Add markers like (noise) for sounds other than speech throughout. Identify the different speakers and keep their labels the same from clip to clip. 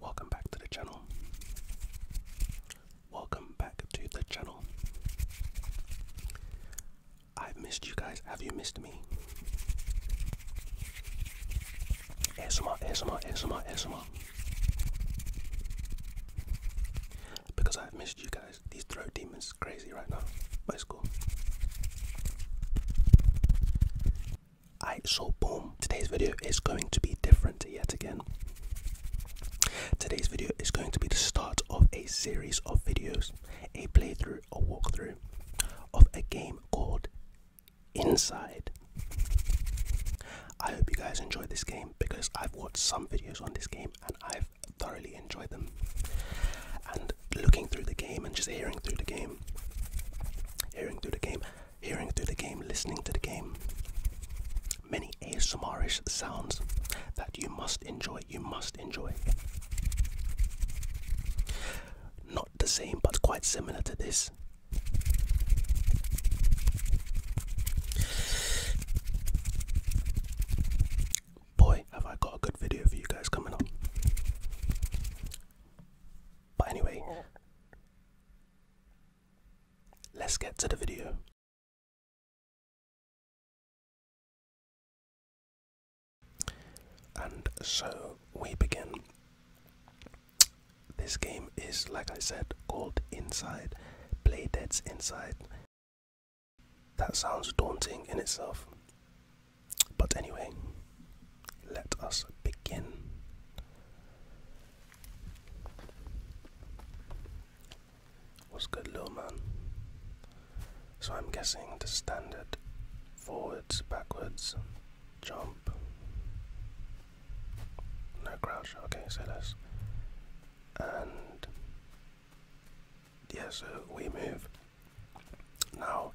Speaker 1: Welcome back to the channel welcome back to the channel. I've missed you guys. Have you missed me? ASMR, ASMR, ASMR, ASMR. Because I've missed you guys. These throat demons crazy right now. But it's cool. Alright, so boom. Today's video is going to be different yet again. Today's video is going to be the start of a series of videos, a playthrough a walkthrough of a game called Inside. I hope you guys enjoy this game because I've watched some videos on this game and I've thoroughly enjoyed them. And looking through the game and just hearing through the game, hearing through the game, hearing through the game, listening to the game, many asomarish sounds that you must enjoy. You must enjoy. Not the same, but quite similar to this. Boy, have I got a good video for you guys coming up. But anyway, let's get to the video. And so we begin. This game is, like I said, called Inside, Play Dead's Inside. That sounds daunting in itself. But anyway, let us begin. What's good, little man? So I'm guessing the standard forwards, backwards, jump. No crouch, okay, so less. And yeah, so we move. Now,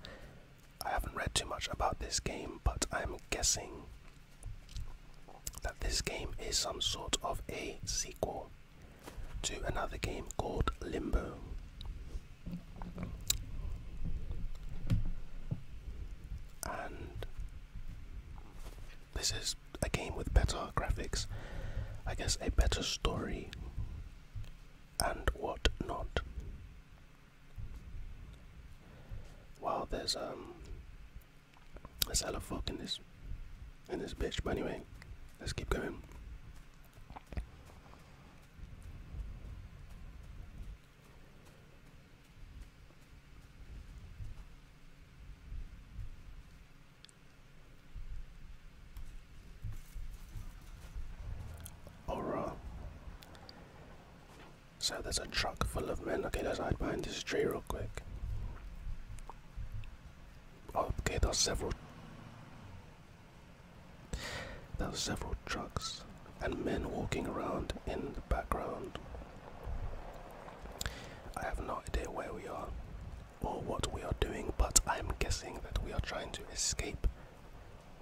Speaker 1: I haven't read too much about this game, but I'm guessing that this game is some sort of a sequel to another game called Limbo. And this is a game with better graphics, I guess a better story, and what not. While there's um, that's fuck in this in this bitch. But anyway, let's keep going. Alright. So there's a truck full of men. Okay, let's hide behind this tree real quick. Oh, okay, there are several. There are several trucks and men walking around in the background. I have no idea where we are or what we are doing, but I'm guessing that we are trying to escape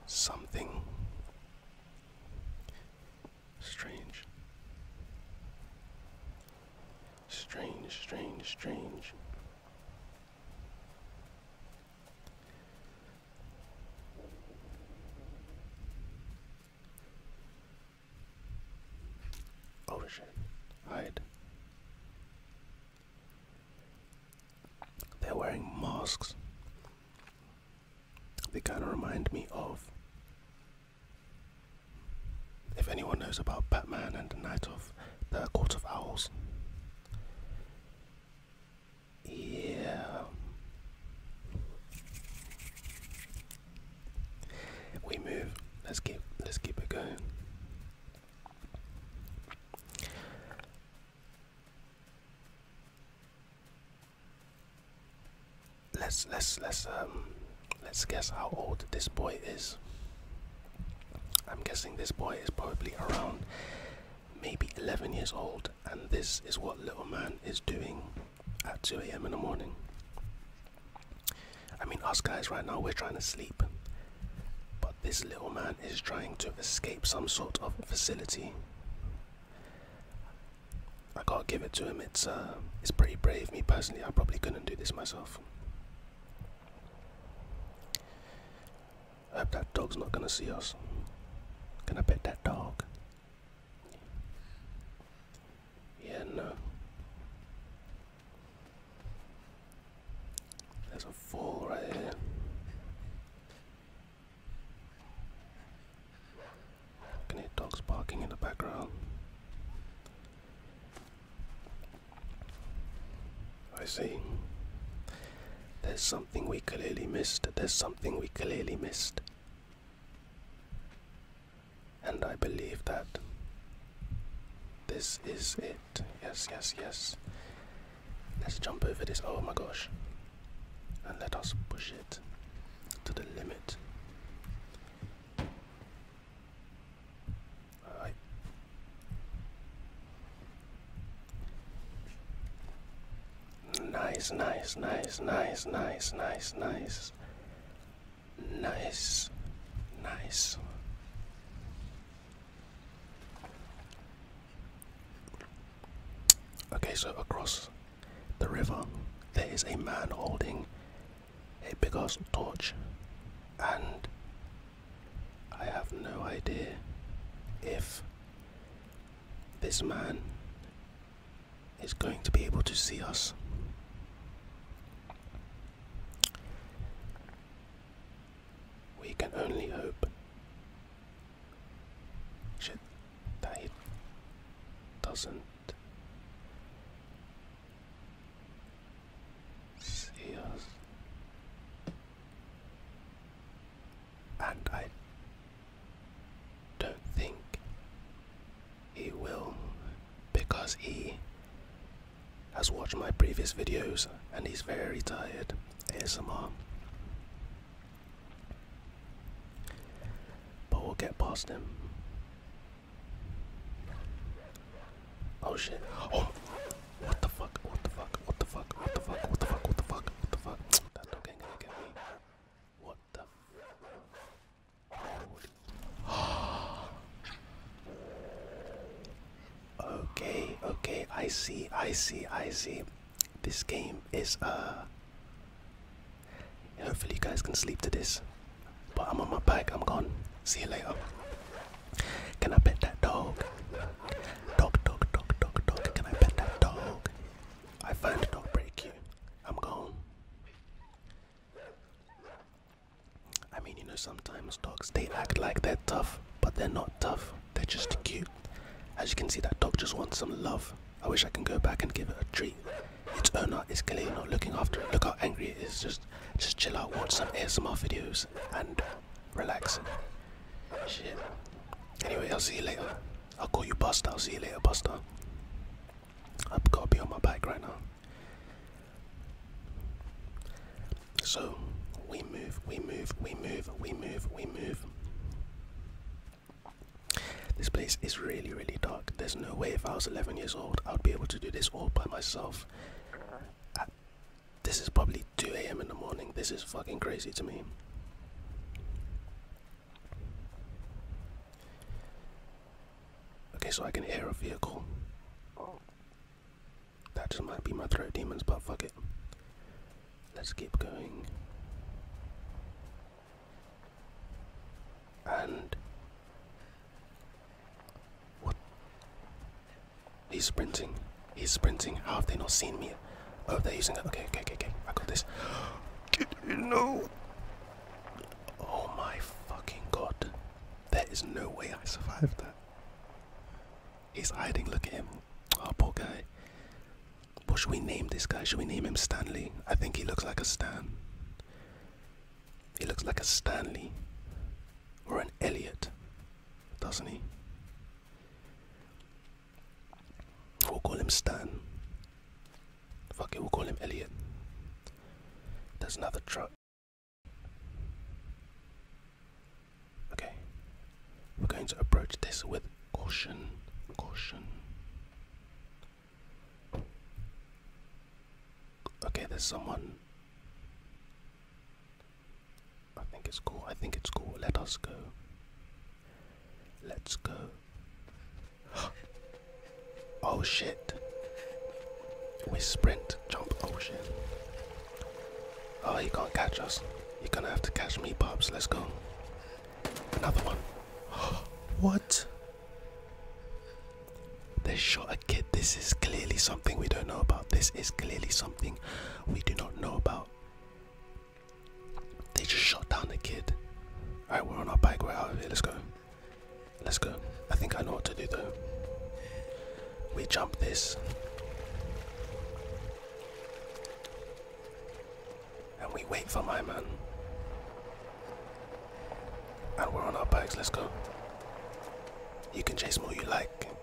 Speaker 1: something strange. Strange, strange, strange. Oh Hide. They're wearing masks. They kind of remind me of if anyone knows about Batman and the Night of the Court of Owls, yeah, we move. Let's keep let's keep it going. Let's let's let's um, Let's guess how old this boy is. I'm guessing this boy is probably around maybe 11 years old, and this is what little man is doing at 2 a.m. in the morning. I mean, us guys right now, we're trying to sleep, but this little man is trying to escape some sort of facility. I gotta give it to him. It's uh, it's pretty brave. Me personally, I probably couldn't do this myself. I hope that dog's not gonna see us. Can I pet that dog? Yeah, no. There's a fall right here. I can hear dogs barking in the background. I see. There's something we clearly missed. There's something we clearly missed. And I believe that this is it. Yes, yes, yes. Let's jump over this. Oh my gosh. And let us push it to the limit nice, nice, nice, nice, nice, nice, nice, nice, nice. Okay, so across the river, there is a man holding a big ass torch and I have no idea if this man is going to be able to see us. We can only hope that it doesn't see us. And I don't think he will because he has watched my previous videos and he's very tired Here's some ASMR. But we'll get past him. Oh shit. Oh what the fuck? What the fuck? What the fuck? What the fuck? What the fuck? What the fuck? What the fuck? That okay gonna get me. What the fuck? Okay, okay, I see, I see, I see. This game is uh hopefully you guys can sleep to this. But I'm on my bike, I'm gone. See you later. Can I pet that dog? Dog, dog, dog, dog, dog. Can I pet that dog? I find a dog break you. I'm gone. I mean, you know, sometimes dogs they act like they're tough, but they're not tough. They're just cute. As you can see, that dog just wants some love. I wish I can go back and give it a treat. Its owner is clearly not looking after it. Look how angry it is. Just, just chill out. Watch some ASMR videos and relax. Anyway, I'll see you later. I'll call you Buster. I'll see you later, Buster. I've got to be on my bike right now. So we move, we move, we move, we move, we move. This place is really, really dark. There's no way if I was 11 years old, I'd be able to do this all by myself this is probably 2 a.m. in the morning. This is fucking crazy to me. Okay, so I can hear a vehicle. That just might be my throat demons, but fuck it. Let's keep going. And. What? He's sprinting. He's sprinting. How have they not seen me? Oh, they're using it. Okay, okay, okay, okay. I got this. (gasps) Get in, know? Oh my fucking god. There is no way I survived that. He's hiding. Look at him. Oh, poor guy. What should we name this guy? Should we name him Stanley? I think he looks like a Stan. He looks like a Stanley or an Elliot doesn't he? We'll call him Stan. Fuck it, we'll call him Elliot. There's another truck. Okay. We're going to approach this with caution. Caution. Okay, there's someone. I think it's cool. I think it's cool. Let us go. Let's go. (gasps) oh shit. We sprint, jump, oh shit. Oh, he can't catch us. You're gonna have to catch me, Pops. Let's go. Another one. (gasps) what? They shot a kid this is clearly something we don't know about. This is clearly something we do not know about. They just shot down the kid. Alright, we're on our bike, we're out of here, let's go. Let's go. I think I know what to do though. We jump this. And we wait for my man. And we're on our bikes, let's go. You can chase more you like.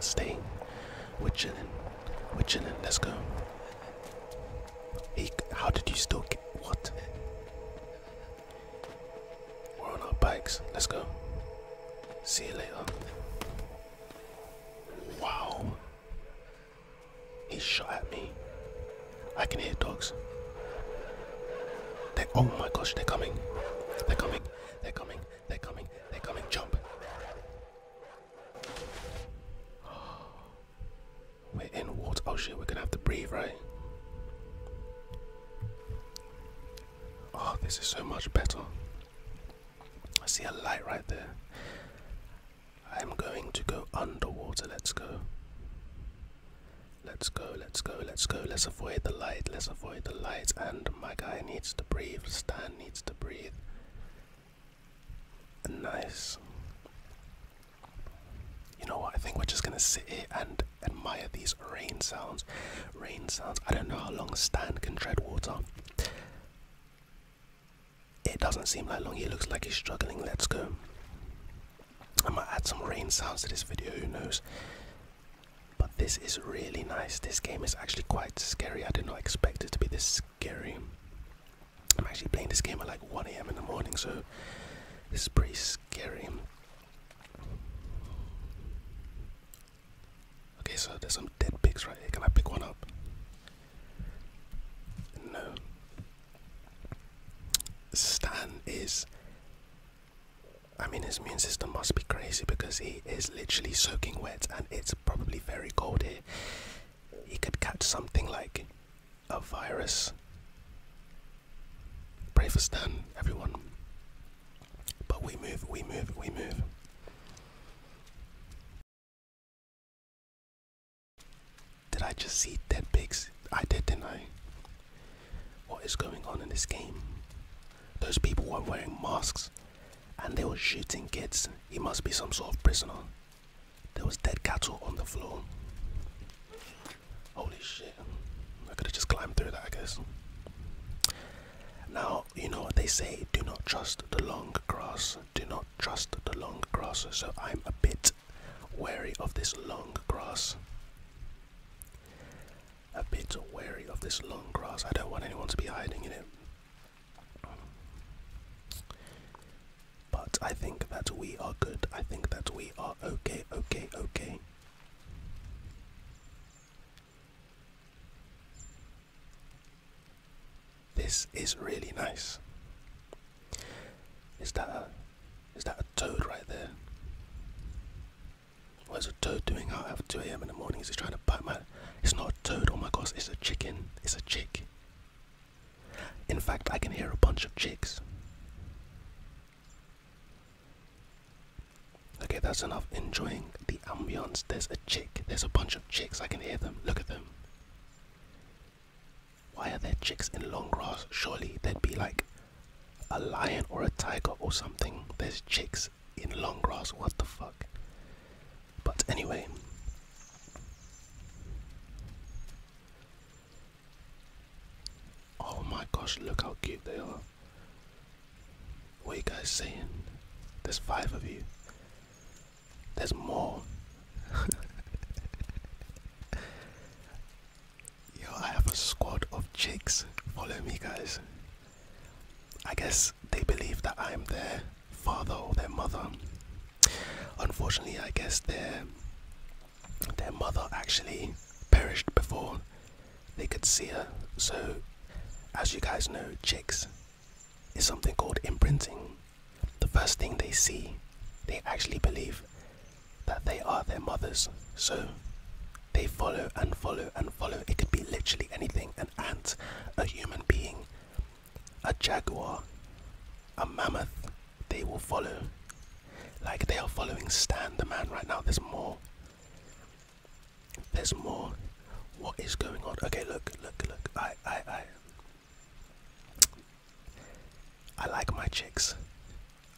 Speaker 1: Stay. We're chilling. we Let's go. how did you still get what? We're on our bikes. Let's go. See you later. Wow. He shot at me. I can hear dogs. They oh my gosh, they're coming. They're coming. They're coming. They're coming. They're coming. Jump. (gasps) We're in water. Oh shit, we're gonna have to breathe, right? Oh, this is so much better. I see a light right there. I'm going to go underwater. Let's go. Let's go let's go, let's go. Let's avoid the light, let's avoid the light. And my guy needs to breathe, Stan needs to breathe. Nice. You know what? I think we're just gonna sit here and admire these rain sounds. Rain sounds. I don't know how long Stan can tread water. It doesn't seem like long. He looks like he's struggling. Let's go. I might add some rain sounds to this video. Who knows? But this is really nice. This game is actually quite scary. I did not expect it to be this scary. I'm actually playing this game at like 1 a.m. in the morning, so it's pretty scary. Okay, so there's some dead pigs right here. Can I pick one up? No. Stan is I mean, his immune system must be crazy because he is literally soaking wet and it's probably very cold here. He could catch something like a virus. Pray for Stan, everyone. But we move, we move, we move. Did I just see dead pigs? I did, didn't I? What is going on in this game? Those people were wearing masks and they were shooting kids. He must be some sort of prisoner. There was dead cattle on the floor. Holy shit. I could have just climbed through that, I guess. Now, you know what they say, do not trust the long grass. Do not trust the long grass. So I'm a bit wary of this long grass a bit wary of this long grass. I don't want anyone to be hiding in it. But I think that we are good. I think that we are okay, okay, okay. This is really nice. Is that a is that a toad right there? What's a toad doing out at 2 a.m. in the morning? Is he trying to bite my. It's not a toad, oh my gosh, it's a chicken. It's a chick. In fact, I can hear a bunch of chicks. Okay, that's enough. Enjoying the ambience. There's a chick. There's a bunch of chicks. I can hear them. Look at them. Why are there chicks in long grass? Surely there'd be like a lion or a tiger or something. There's chicks in long grass. What the fuck? But anyway. Oh my gosh, look how cute they are. What you guys saying? There's five of you. There's more. (laughs) Yo, I have a squad of chicks. Follow me, guys. I guess they believe that I'm their father or their mother. Unfortunately, I guess their their mother actually perished before they could see her. So, as you guys know, chicks is something called imprinting. The first thing they see, they actually believe that they are their mothers. So, they follow and follow and follow. It could be literally anything an ant, a human being, a jaguar, a mammoth. They will follow. Like they are following Stan the man right now. There's more. There's more. What is going on? Okay, look, look, look. I, I, I. I like my chicks.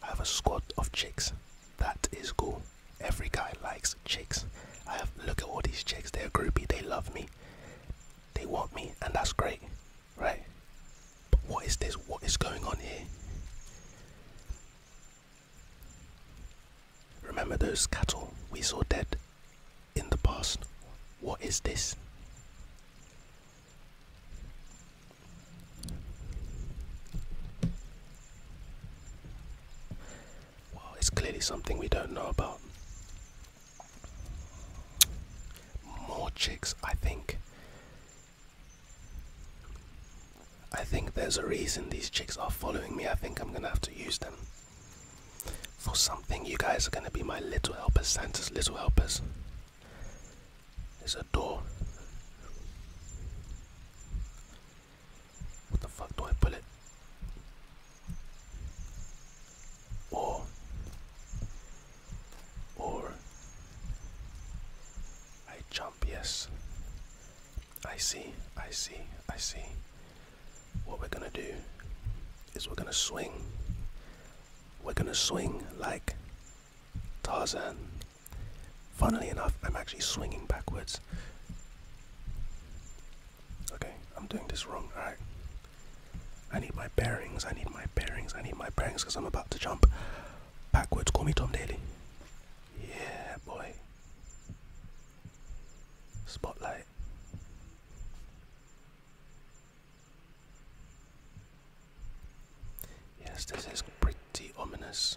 Speaker 1: I have a squad of chicks. That is cool. Every guy likes chicks. I have look at all these chicks. They're groupie. They love me. They want me, and that's great, right? But what is this? What is going on here? Remember those cattle we saw dead in the past? What is this? Well, it's clearly something we don't know about. More chicks, I think. I think there's a reason these chicks are following me. I think I'm gonna have to use them for something. You guys are gonna be my little helpers, Santa's little helpers. There's a door. What the fuck do I put it? Or, or, I jump, yes. I see, I see, I see. What we're gonna do is we're gonna swing. We're gonna swing like Tarzan. Funnily enough, I'm actually swinging backwards. Okay, I'm doing this wrong. Alright. I need my bearings, I need my bearings, I need my bearings because I'm about to jump backwards. Call me Tom Daly. Yeah, boy. Spotlight. Yes, this is pretty ominous.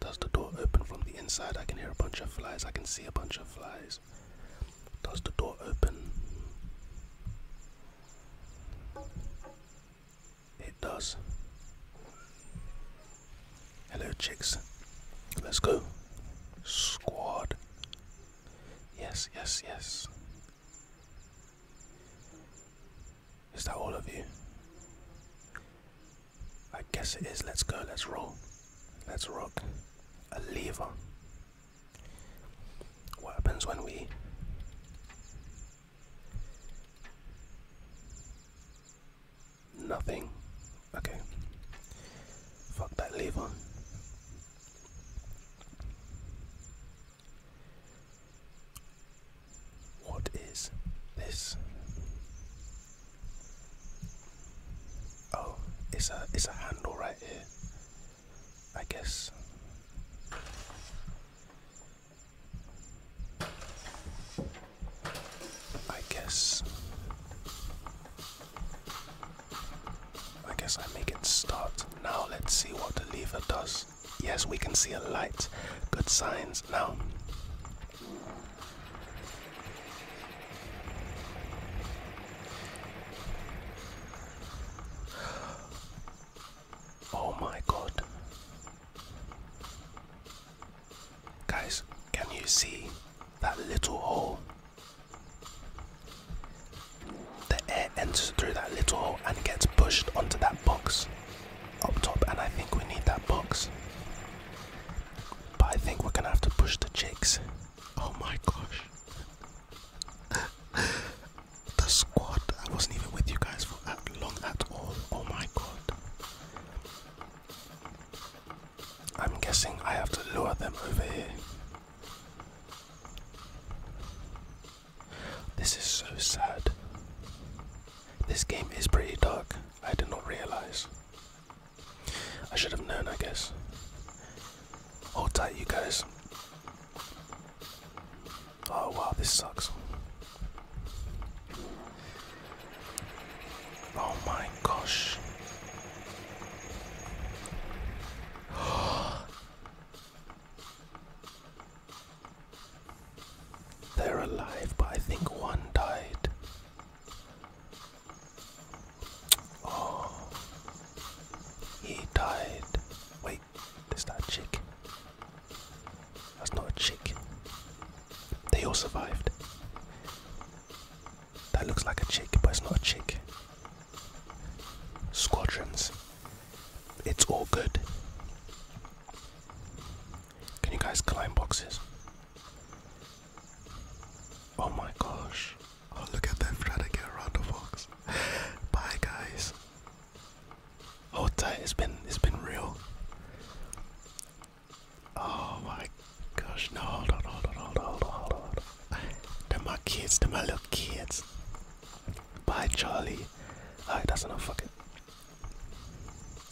Speaker 1: Does the door open from the inside? I can hear a bunch of flies. I can see a bunch of flies. Does the door open? It does. Hello, chicks. Let's go. Squad. Yes, yes, yes. Is that all of you? I guess it is. Let's go. Let's roll. Let's rock. A lever. What happens when we. Nothing. Okay. Fuck that lever. What is this? Oh, it's a it's a handle right here. I guess. I guess. I guess I make it start. Now let's see what the lever does. Yes, we can see a light. Good signs. Now, oh my god, guys, can you see that little hole? The air enters through that little hole and gets pushed onto that box up top, and I think we need that box. But I think we're gonna have to push the chicks. Oh my gosh. (laughs) the squad, I wasn't even with you guys for that long at all. Oh my god. I'm guessing I have to lure them over here. This is so sad. This game is pretty dark. I did not realize. I should have known, I guess. Hold tight, you guys. Oh wow, this sucks. Oh my gosh. They're alive, but I think one died. Oh, he died. Wait, is that a chick? That's not a chick. They all survived. That looks like a chick, but it's not a chick. Squadrons. It's all good. Can you guys climb boxes? Oh my gosh. Oh, look at them trying to get around the box. Bye, guys. Hold oh, tight. It's been it's been real. Oh my gosh! No, hold on, hold on, hold on, hold on, hold on. They're my kids. They're my little kids. Bye, Charlie. Alright, that's enough. Fuck it.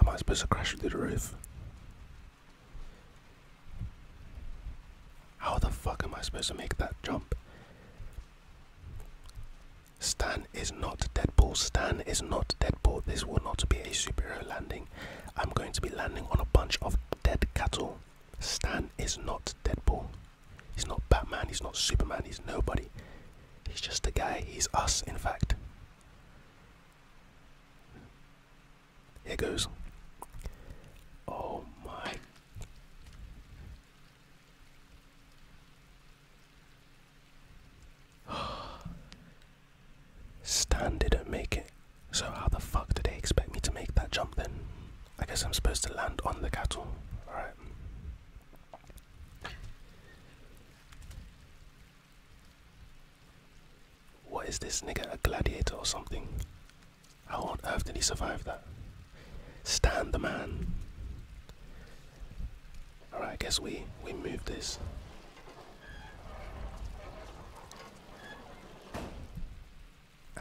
Speaker 1: Am I supposed to crash through the roof? How the fuck am I supposed to make that jump? Stan is not Deadpool. Stan is not Deadpool. This will not be a superhero landing. I'm going to be landing on a bunch of dead cattle. Stan is not Deadpool. He's not Batman. He's not Superman. He's nobody. He's just a guy. He's us, in fact. Here goes. Oh my. (sighs) Stan didn't make it. So how the fuck do they expect me to make that jump then? I guess I'm supposed to land on the cattle. Alright. What is this nigga, a gladiator or something? How on earth did he survive that? Stand the man. Alright, I guess we, we move this.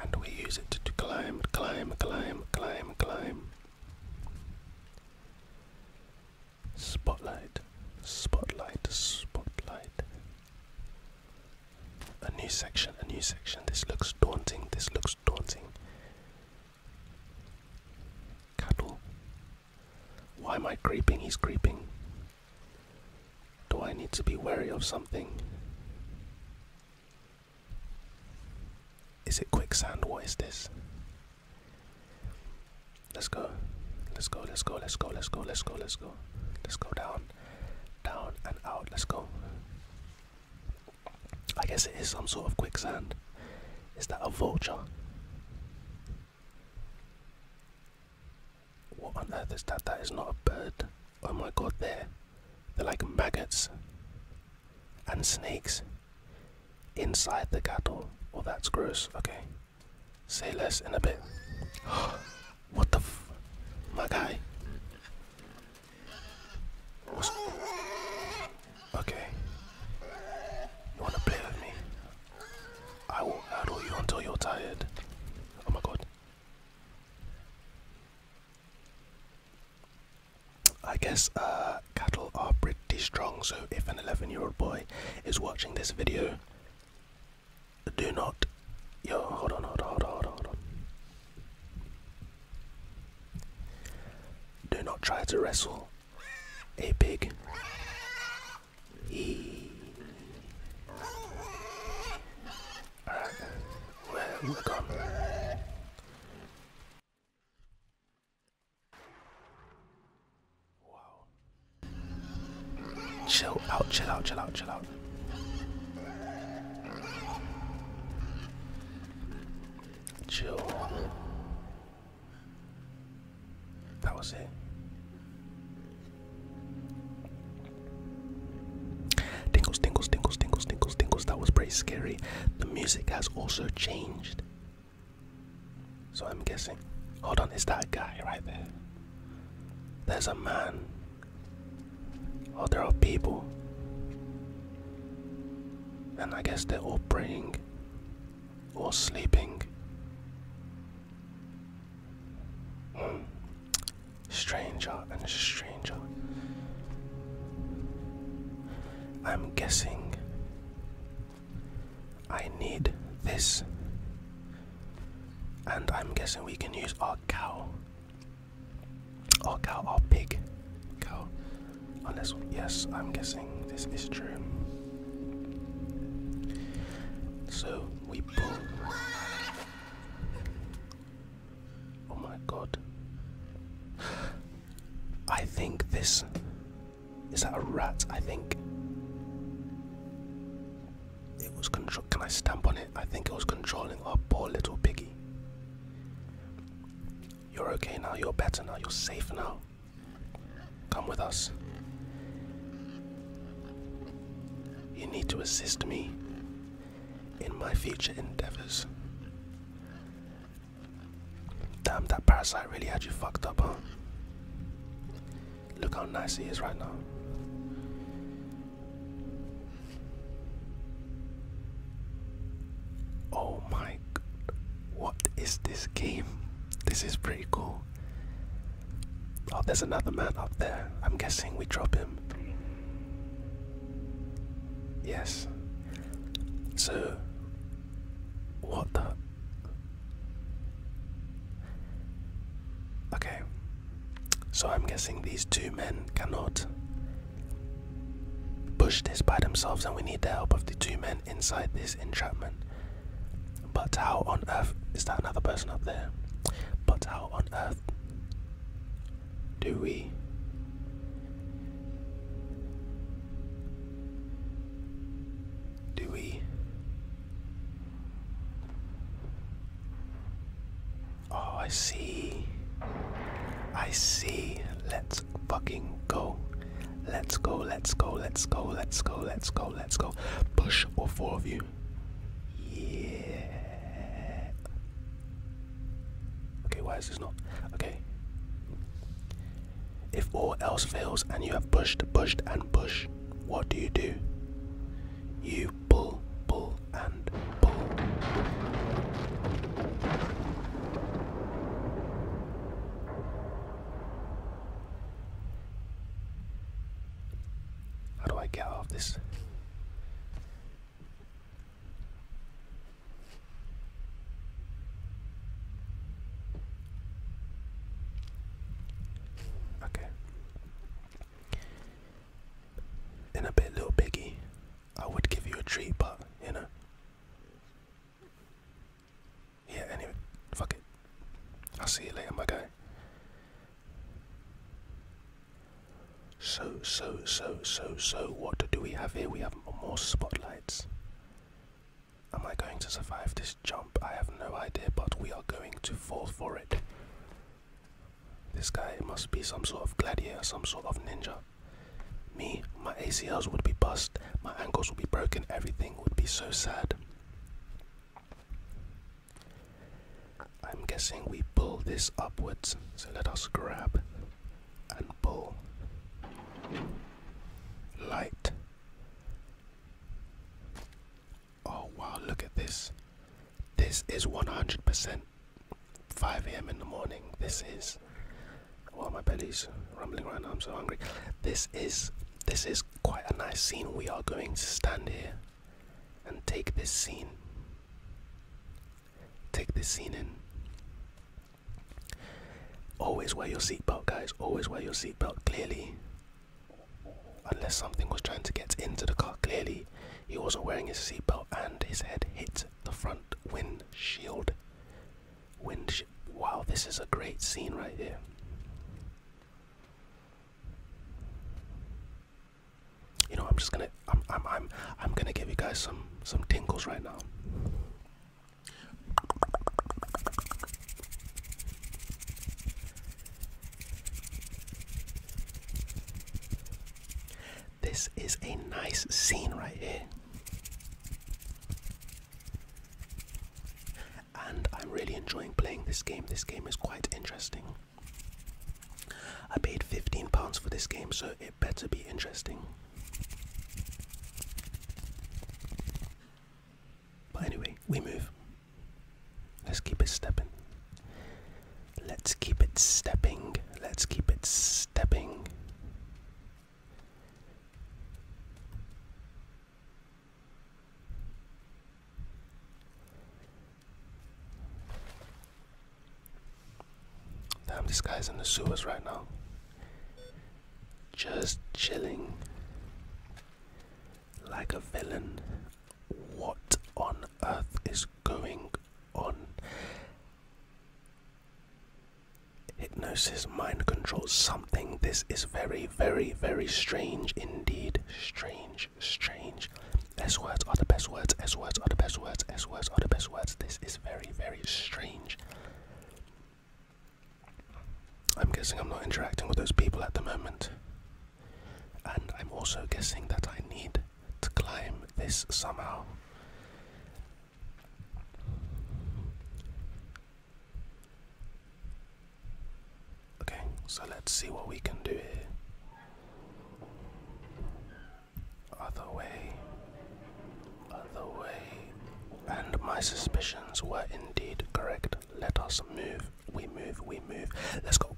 Speaker 1: And we use it to climb, climb, climb, climb, climb. Spotlight, spotlight, spotlight. A new section, a new section. This looks daunting, this looks daunting. Cattle. Why am I creeping? He's creeping. Do I need to be wary of something? Is it quicksand? What is this? Let's go. Let's go, let's go, let's go, let's go, let's go, let's go. Let's go down, down and out. Let's go. I guess it is some sort of quicksand. Is that a vulture? What on earth is that? That is not a bird. Oh my god, they're, they're like maggots and snakes inside the cattle. Oh, that's gross. Okay. Say less in a bit. (gasps) what the f. My guy. okay. You wanna play with me? I will addle you until you're tired. Oh my god. I guess uh, cattle are pretty strong, so if an 11 year old boy is watching this video, do not. Yo, hold on, hold on, hold on, hold on, Do not try to wrestle a pig. E. Alright, we Chill out, chill out, chill out, chill out. Chill. That was it. Tingles, tingles, tingles, tingles, tingles, tingles. That was pretty scary. The music has also changed. So I'm guessing. Hold on, it's that guy right there. There's a man. Oh, there are people. And I guess they're all praying or sleeping. Hmm. Stranger and stranger. I'm guessing I need this and I'm guessing we can use our cow. Our cow, our pig. Cow. Unless, yes, I'm guessing this is true. So we pull. Oh my god. I think this. Is that a rat? I think. It was control. Can I stamp on it? I think it was controlling our poor little piggy. You're okay now. You're better now. You're safe now. Come with us. You need to assist me in my future endeavors. Damn, that parasite really had you fucked up, huh? Look how nice he is right now. Oh my, what is this game? This is pretty cool. Oh, there's another man up there. I'm guessing we drop him. Yes. So, what the? Okay, so I'm guessing these two men cannot push this by themselves, and we need the help of the two men inside this entrapment. But how on earth is that another person up there? But how on earth do we? do we? Oh, I see. I see. Let's fucking go. Let's go, let's go, let's go, let's go, let's go, let's go. Push all four of you. Yeah. Okay, why is this not? Okay. If all else fails and you have pushed, pushed, and pushed, what do you do? You pull, pull, and pull. How do I get off this? Okay. In a bit, little piggy, I would give you a treat, but you know. Yeah, anyway, fuck it. I'll see you later, my guy. So, so, so, so, so, what do we have here? We have more spotlights. Am I going to survive this jump? I have no idea, but we are going to fall for it. This guy must be some sort of gladiator, some sort of ninja. Me, my ACLs would be bust, my ankles would be broken, everything would be so sad. I'm guessing we pull this upwards, so let us grab and pull. Light. Oh wow, look at this. This is 100%. 5 a.m. in the morning. This is. Oh, my belly's rumbling right now. I'm so hungry. This is. This is quite a nice scene. We are going to stand here and take this scene. Take this scene in. Always wear your seatbelt, guys. Always wear your seatbelt. Clearly, Unless something was trying to get into the car, clearly he wasn't wearing his seatbelt and his head hit the front windshield. Wind wow, this is a great scene right here. You know, I'm just gonna, I'm, I'm, I'm, I'm gonna give you guys some, some tingles right now. This is a nice scene right here. And I'm really enjoying playing this game. This game is quite interesting. I paid £15 for this game, so it better be interesting. But anyway, we move. Let's keep it stepping. Let's keep it stepping. Let's keep it stepping. Damn, this guy's in the sewers right now. Just chilling. Like a villain. What on earth is going on? Hypnosis, mind control, something. This is very, very, very strange indeed. Strange, strange. S words are the best words. S words are the best words. S words are the best words. This is very, very strange. I'm guessing I'm not interacting with those people at the moment. And I'm also guessing that I need to climb this somehow. Okay, so let's see what we can do here. Other way, other way. And my suspicions were indeed correct. Let us move. We move, we move. Let's go.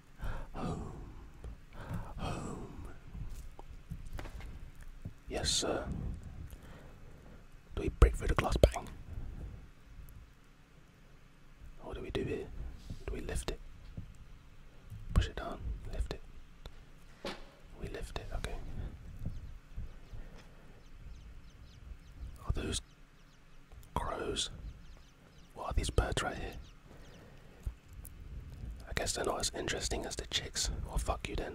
Speaker 1: Home. Home. Yes, sir. Do we break through the glass bang? What do we do here? Do we lift it? Push it down, lift it. We lift it, okay. Are those crows? What are these birds right here? I guess they're not as interesting as the chicks. Well, fuck you then.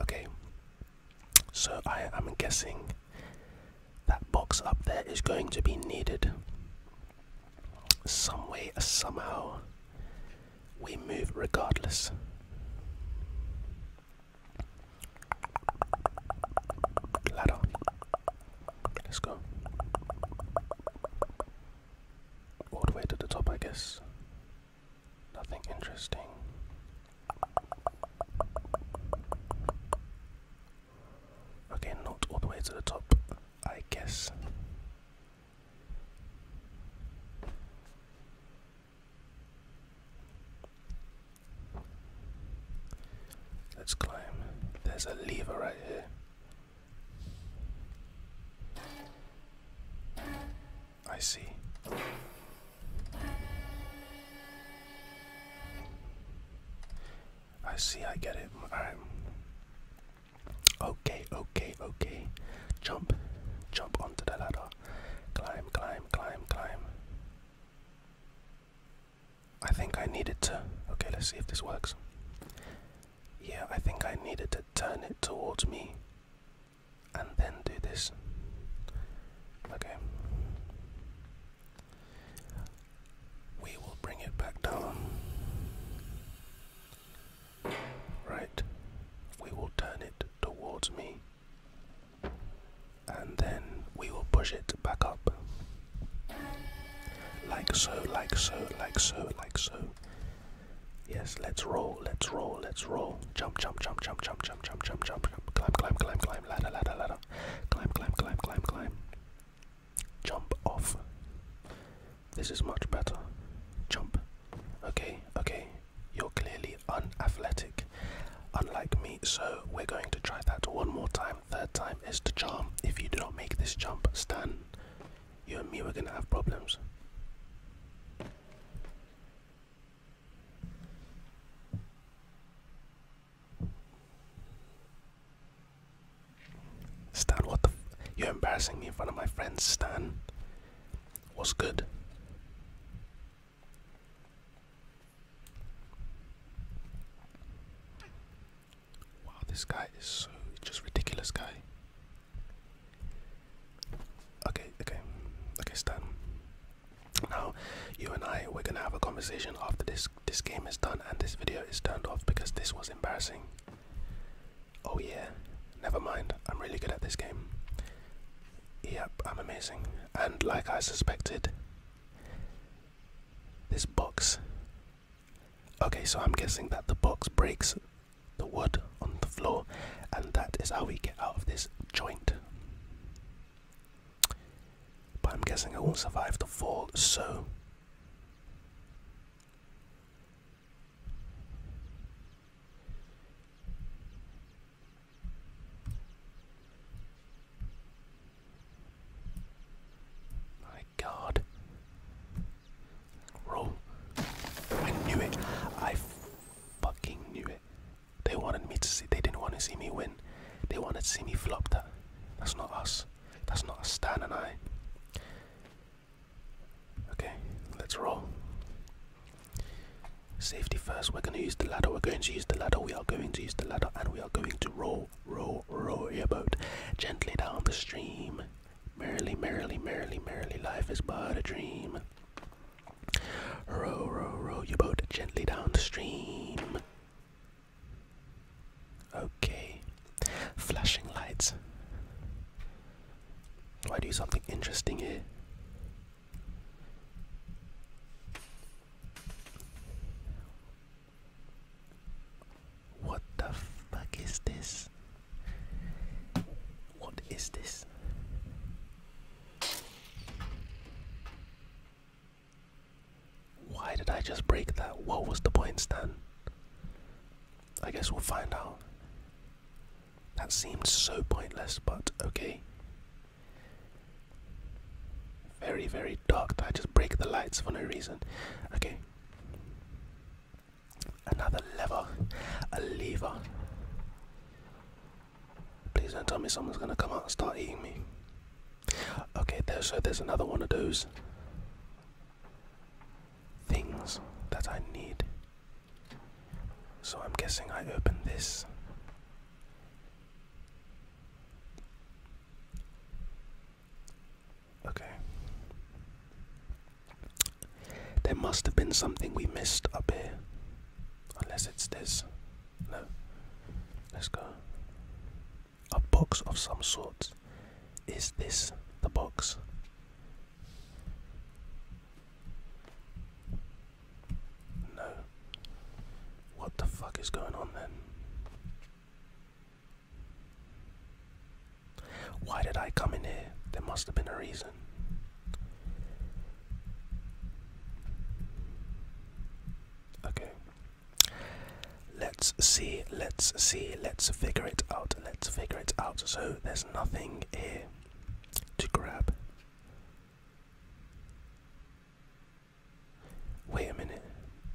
Speaker 1: Okay. So I am guessing that box up there is going to be needed. Some way, somehow, we move regardless. Ladder. Let's go. All the way to the top, I guess. Nothing interesting. Okay, not all the way to the top, I guess. Let's climb. There's a lever right here. I see. I see, I get it. Alright. Okay, okay, okay. Jump, jump onto the ladder. Climb, climb, climb, climb. I think I needed to. Okay, let's see if this works. Yeah, I think I needed to turn it towards me and then do this. Okay. We will bring it back down. Right. We will turn it towards me. And then we will push it back up. Like so, like so, like so, like so. Yes, let's roll, let's roll, let's roll. Jump, jump, jump, jump, jump, jump, jump, jump, jump, jump. Climb, climb, climb, climb, ladder, ladder, ladder. Climb, climb, climb, climb, climb. Jump off. This is much better. Jump. Okay, okay. You're clearly unathletic, unlike me, so we're going to try that one more time. Third time is the charm. If you do not make this jump, Stan, you and me were gonna have problems. Stan, what the? F You're embarrassing me in front of my friends, Stan. What's good? Wow, this guy is so just ridiculous guy. Okay, okay, okay, Stan. Now, you and I, we're gonna have a conversation after this. This game is done and this video is turned off because this was embarrassing. Oh yeah, never mind. I'm really good at this game. Yep, I'm amazing. And like I suspected, this box Okay, so I'm guessing that the box breaks the wood on the floor, and that is how we get out of this joint. But I'm guessing I won't survive the fall, so god. Roll. I knew it. I fucking knew it. They wanted me to see. They didn't want to see me win. They wanted to see me flop that. That's not us. That's not us, Stan and I. Okay, let's roll. Safety first. We're going to use the ladder. We're going to use the ladder. We are going to use the ladder. And we are going to roll, roll, roll your boat gently down the stream. Merrily, merrily, merrily, merrily, life is but a dream. Row, row, row your boat gently downstream. Okay. Flashing lights. Do I do something interesting here? What the fuck is this? What is this? Why did I just break that? What was the point, Stan? I guess we'll find out. That seemed so pointless, but okay. Very, very dark. I just break the lights for no reason. Okay. Another lever. A lever. Please don't tell me someone's gonna come out and start eating me. Okay, so there's another one of those things that I need. So I'm guessing I open this. Okay. There must have been something we missed up here. Unless it's this. No. Let's go. A box of some sort. Is this the box? No. What the fuck is going on then? Why did I come in here? There must have been a reason. Okay. Let's see, let's see, let's figure it out, let's figure it out. So there's nothing here to grab. Wait a minute.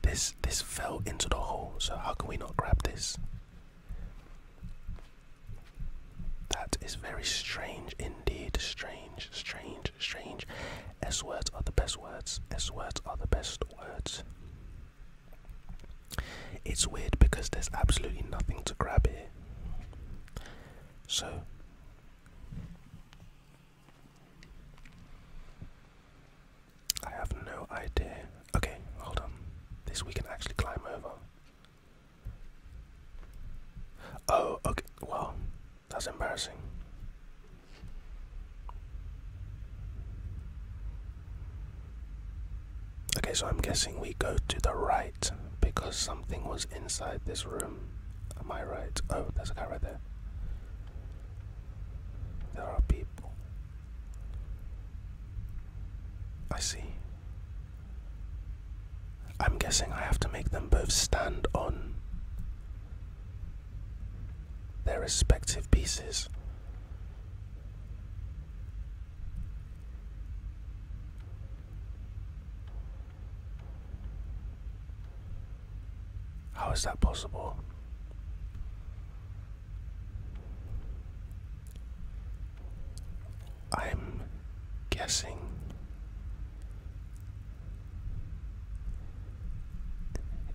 Speaker 1: This this fell into the hole, so how can we not grab this? That is very strange indeed. Strange, strange, strange. S words are the best words. S words are the best words. It's weird because there's absolutely nothing to grab here. So I have no idea. Okay, hold on. This we can actually climb over. Oh, okay. Well, that's embarrassing. Okay, so I'm guessing we go to the right because something was inside this room. Am I right? Oh, there's a guy right there. There are people. I see. I'm guessing I have to make them both stand on their respective pieces. How is that possible? I'm guessing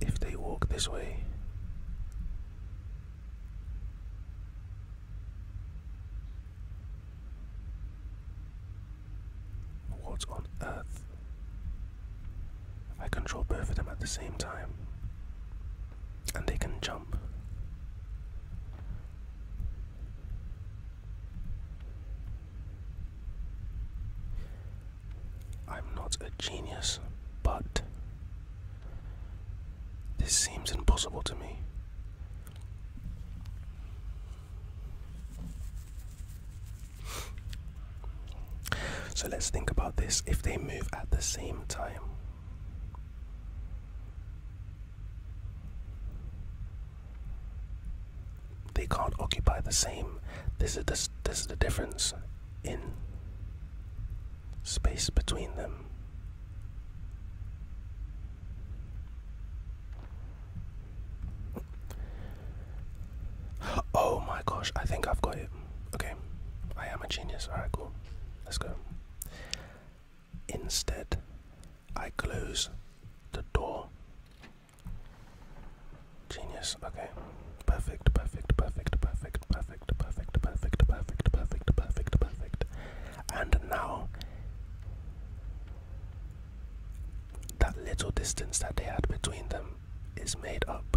Speaker 1: if they walk this way. What on earth? I control both of them at the same time and they can jump. I'm not a genius, but this seems impossible to me. So let's think about this if they move at the same time. They can't occupy the same. This is the, this is the difference in space between them. Oh my gosh, I think I've got it. Okay, I am a genius. Alright, cool. Let's go. Instead, I close the door. Genius, okay. Perfect, perfect, perfect, perfect, perfect, perfect, perfect, perfect, perfect, perfect, perfect. And now, that little distance that they had between them is made up.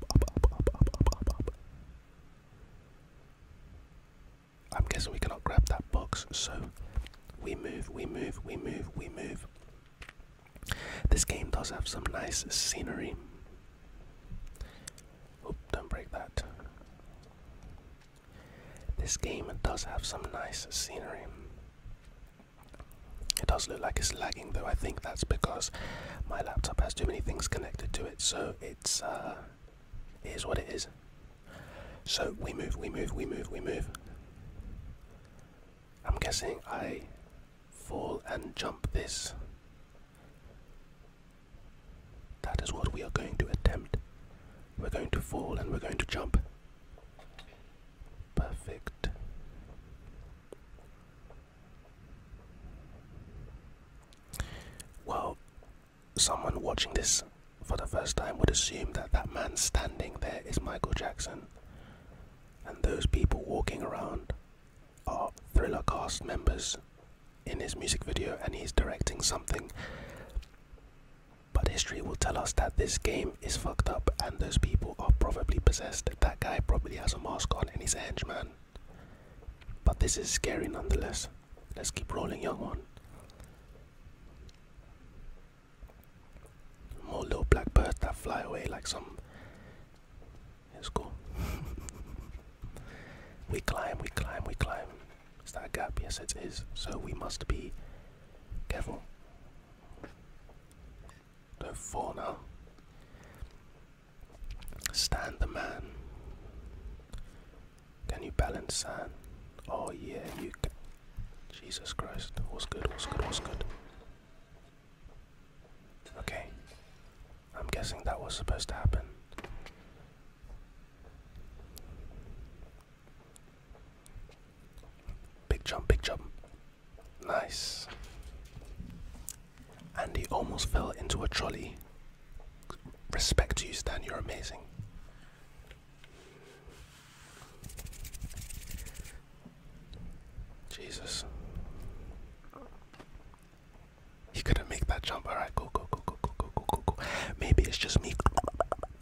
Speaker 1: I'm guessing we cannot grab that box, so we move, we move, we move, we move. This game does have some nice scenery. don't break that. This game does have some nice scenery. It does look like it's lagging though. I think that's because my laptop has too many things connected to it, so it's uh, what it is. So we move, we move, we move, we move. I'm guessing I fall and jump this. That is what we are going to attempt. We're going to fall and we're going to jump. Perfect. Well, someone watching this for the first time would assume that that man standing there is Michael Jackson, and those people walking around are Thriller cast members in his music video, and he's directing something. But history will tell us that this game is fucked up, and those people are probably possessed. That guy probably has a mask on and he's a henchman. But this is scary nonetheless. Let's keep rolling, young one. More little black birds that fly away like some. It's cool. (laughs) we climb, we climb, we climb. Is that a gap? Yes, it is. So we must be careful. Don't fall now. Stand the man. Can you balance San? Oh yeah, you can. Jesus Christ. was good? was good? was good? Okay. I'm guessing that was supposed to happen. Big jump, big jump. Nice. Andy almost fell into a trolley. Respect to you, Stan, you're amazing. Jesus. He couldn't make that jump. Alright, go, go, go, go, go, go, go, go, go. Maybe it's just me.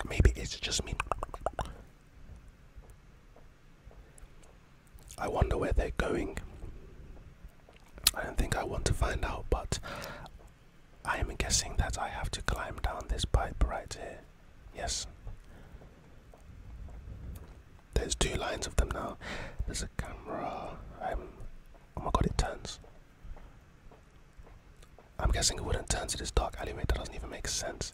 Speaker 1: Maybe it's just me. I wonder where they're going. I don't think I want to find out, but I am guessing that I have to climb down this pipe right here. Yes. There's two lines of them now. There's a camera. I'm. Oh my god, it turns. I'm guessing it wouldn't turn to this dark alleyway. That doesn't even make sense.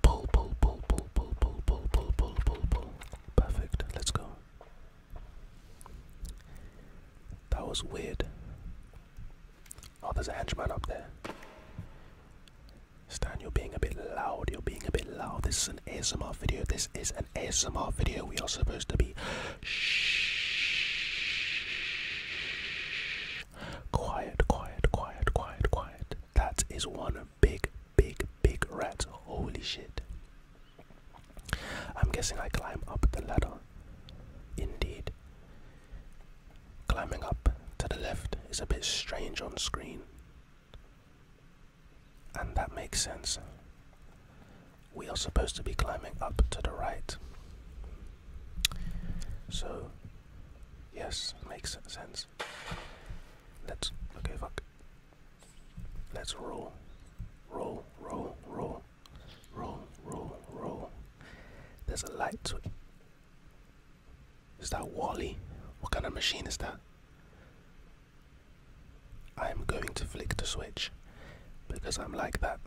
Speaker 1: Pull, pull, pull, pull, pull, pull, pull, pull, pull, pull, pull. Perfect. Let's go. That was weird. Oh, there's a henchman up there. Stan, you're being a bit loud. You're being a bit loud. This is an ASMR video. This is an ASMR video. We are supposed to be shh. Quiet, quiet, quiet, quiet, quiet. That is one big, big, big rats. Holy shit. I'm guessing I climb up the ladder. Indeed. Climbing up to the left is a bit strange on screen. And that makes sense. We are supposed to be climbing up to the right. So, yes, makes sense. Let's. Okay, fuck. Let's roll. Roll, roll, roll. Roll, roll, roll. There's a light to it. Is that Wally? What kind of machine is that? I'm going to flick the switch because I'm like that.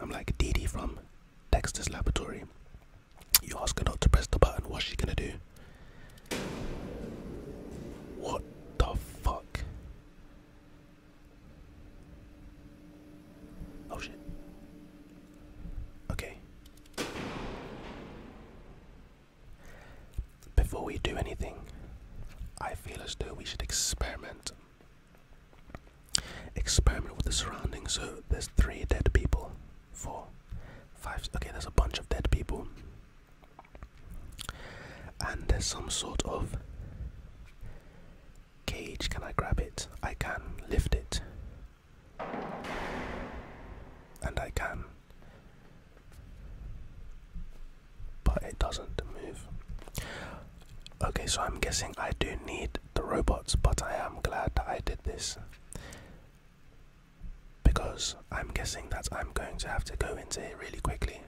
Speaker 1: I'm like Dee Dee from Dexter's Laboratory. You ask her not to press the button, what's she gonna do? What the fuck? Oh shit. Okay. Before we do anything, I feel as though we should experiment. Experiment with the surroundings. So there's three dead people. Four, five. Okay, there's a bunch of dead people. And there's some sort of cage. Can I grab it? I can lift it. And I can. But it doesn't move. Okay, so I'm guessing I do need the robots, but I am glad I did this. Because I'm guessing that I'm going to have to go into it really quickly.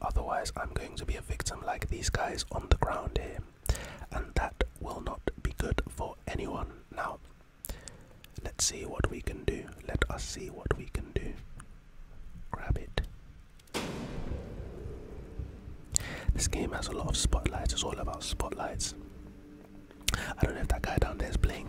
Speaker 1: Otherwise, I'm going to be a victim like these guys on the ground here. And that will not be good for anyone. Now, let's see what we can do. Let us see what we can do. Grab it. This game has a lot of spotlights, it's all about spotlights. I don't know if that guy down there is playing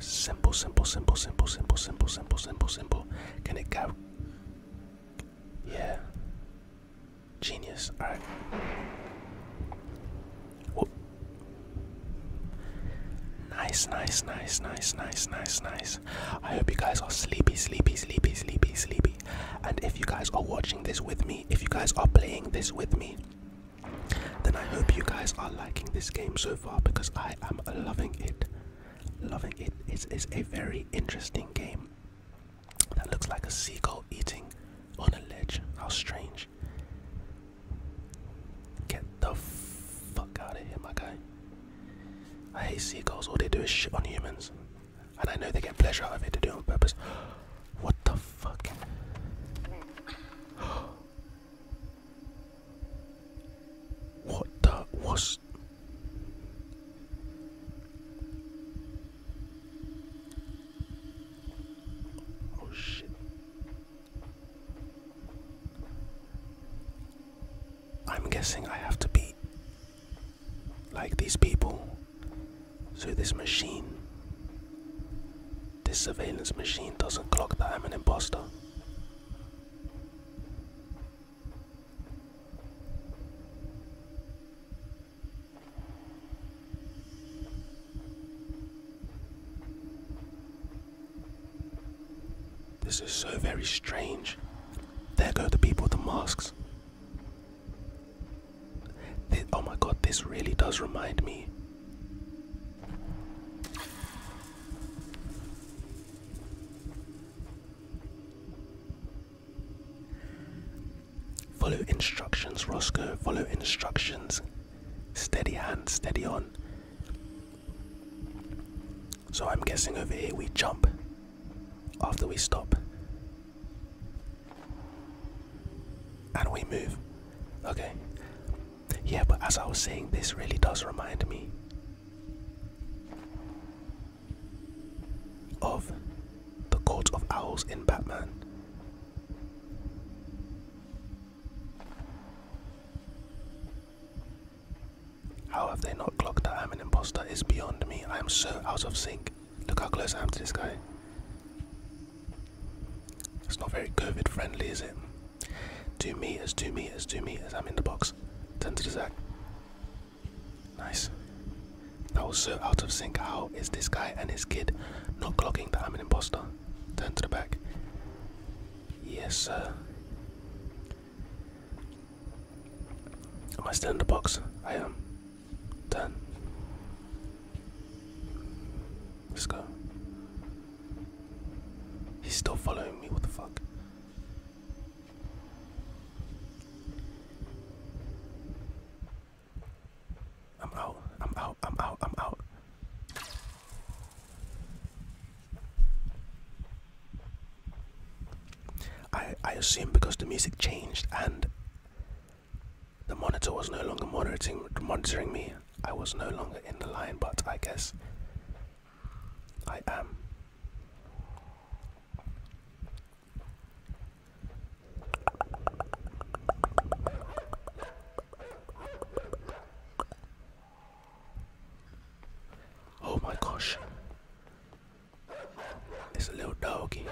Speaker 1: Simple, simple, simple, simple, simple, simple, simple, simple, simple. Can it go? Yeah. Genius. Alright. Nice, nice, nice, nice, nice, nice, nice. I hope you guys are sleepy, sleepy, sleepy, sleepy, sleepy. And if you guys are watching this with me, if you guys are playing this with me, then I hope you guys are liking this game so far because I am loving it. Loving it. It's, a very interesting game that looks like a seagull eating on a ledge. How strange. Get the fuck out of here, my guy. I hate seagulls. All they do is shit on humans. And I know they get pleasure out of it to do it on purpose. What the fuck? What the was Oh shit. I'm guessing I have to be like these people. So this machine, this surveillance machine doesn't clock that I'm an imposter. This is so very strange. There go the people with the masks oh my god, this really does remind me. Follow instructions, Roscoe. Follow instructions. Steady hand, steady on. So I'm guessing over here we jump after we stop and we move okay yeah but as i was saying this really does remind me of the court of owls in batman how have they not not that I'm an imposter is beyond me. I am so out of sync. Look how close I am to this guy. It's not very COVID friendly, is it? Do me as do me as do me as I'm in the box. Turn to the back. Nice. I was so out of sync. How is this guy and his kid not clocking that I'm an imposter? Turn to the back. Yes, sir. Am I still in the box? I am. done. let Let's go. He's still following me, what the fuck? I'm out, I'm out, I'm out, I'm out. I I assume because the music changed and the monitor was no longer monitoring monitoring me. I was no longer in the line, but I guess I am. Oh my gosh. It's a little doggy.